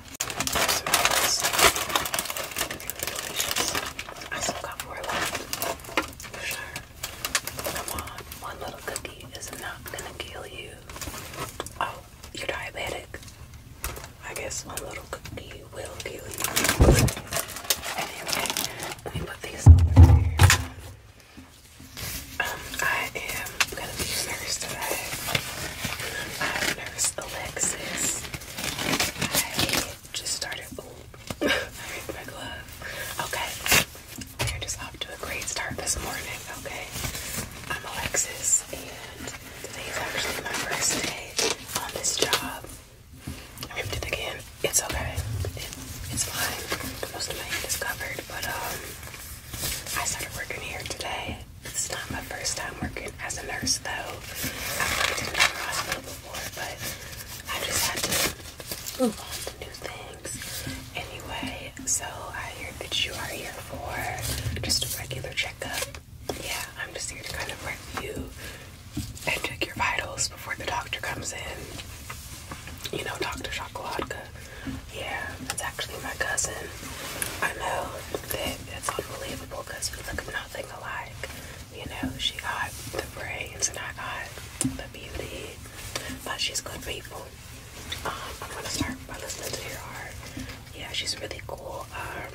I still got more left, Come on, one little cookie is not gonna kill you. Oh, you're diabetic. I guess one little cookie will kill you. Anyway, let me put these over here. Um, I am I'm gonna be nurse today. I'm Nurse Alexis. I just started. Ooh, I my glove. Okay, we're just off to a great start this morning. Okay, I'm Alexis, and today is actually my first day on this job. I ripped it again. It's okay. It, it's fine. Most of my hand is covered, but um, I started working here today. It's not my first time working as a nurse, though. I've worked in another hospital before, but I just had to move on to new things. Anyway, so I hear that you are here for just a regular checkup. Yeah, I'm just here to kind of review and check your vitals before the doctor comes in. You know, Dr. Chocolatka. Yeah, that's actually my cousin. I know that it's unbelievable because we look nothing alike. You know, she got the brains and I got the beauty, but she's good people. Um, I'm gonna start by listening to your heart. Yeah, she's really cool. Um,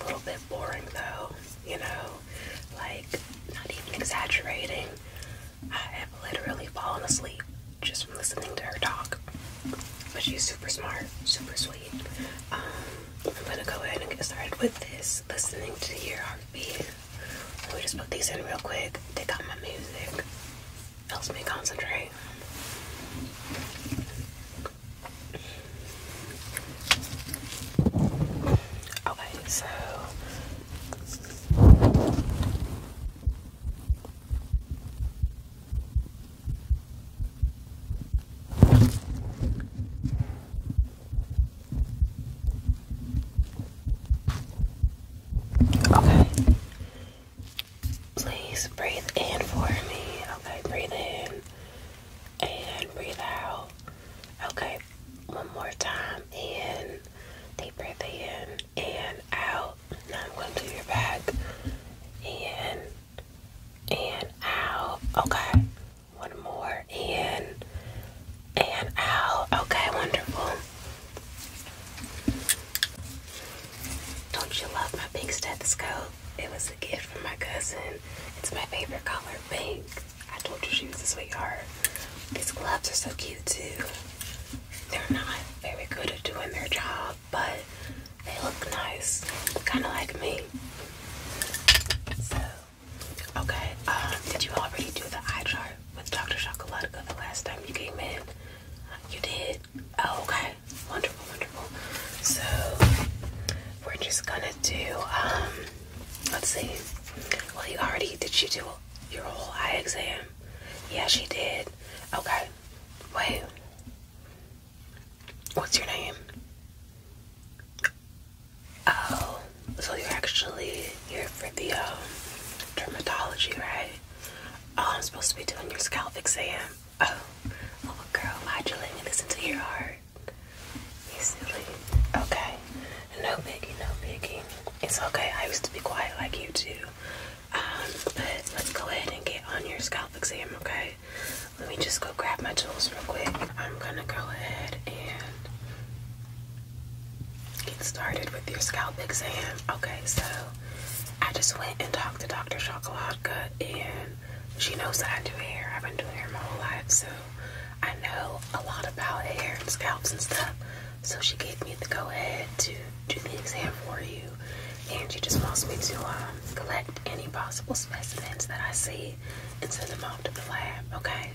a little bit boring though, you know, like not even exaggerating. I have literally fallen asleep just from listening to her talk. But she's super smart, super sweet. Um, I'm gonna go ahead and get started with this, listening to your r heartbeat. Let me just put these in real quick, take out my music, helps me concentrate. Okay, so Okay. Please breathe in for me. Okay, breathe in and breathe out. Okay, one more time. In, deep breath in and out. Now I'm going to do your back. In and out. Okay, one more. In and out. Okay, wonderful. Don't you love my big stethoscope? It was a gift from my cousin. It's my favorite color, pink. I told you she was a sweetheart. These gloves are so cute too. They're not very good at doing their job, but they look nice. Kinda like me. So okay, um, did you already do the eye chart with Dr. Chocolatica the last time you came in? You did? Oh, okay. Wonderful, wonderful. So we're just gonna do um let's see. Well you already did She do your whole eye exam? Yeah, she did. Okay. Wait. What's your name? Oh, so you're actually here for the um, dermatology, right? Oh, I'm supposed to be doing your scalp exam. Oh, little oh, girl, why'd you listen to your heart? You silly. Okay. No biggie, no biggie. It's okay. I used to be quiet like you too. Um, but let's go ahead and get on your scalp exam, okay? Let me just go grab my tools real quick. I'm gonna go ahead and Get started with your scalp exam. Okay, so I just went and talked to Dr. Chocolatka, and she knows that I do hair. I've been doing hair my whole life, so I know a lot about hair and scalps and stuff. So she gave me the go ahead to do the exam for you, and she just wants me to um, collect any possible specimens that I see and send them off to the lab. Okay.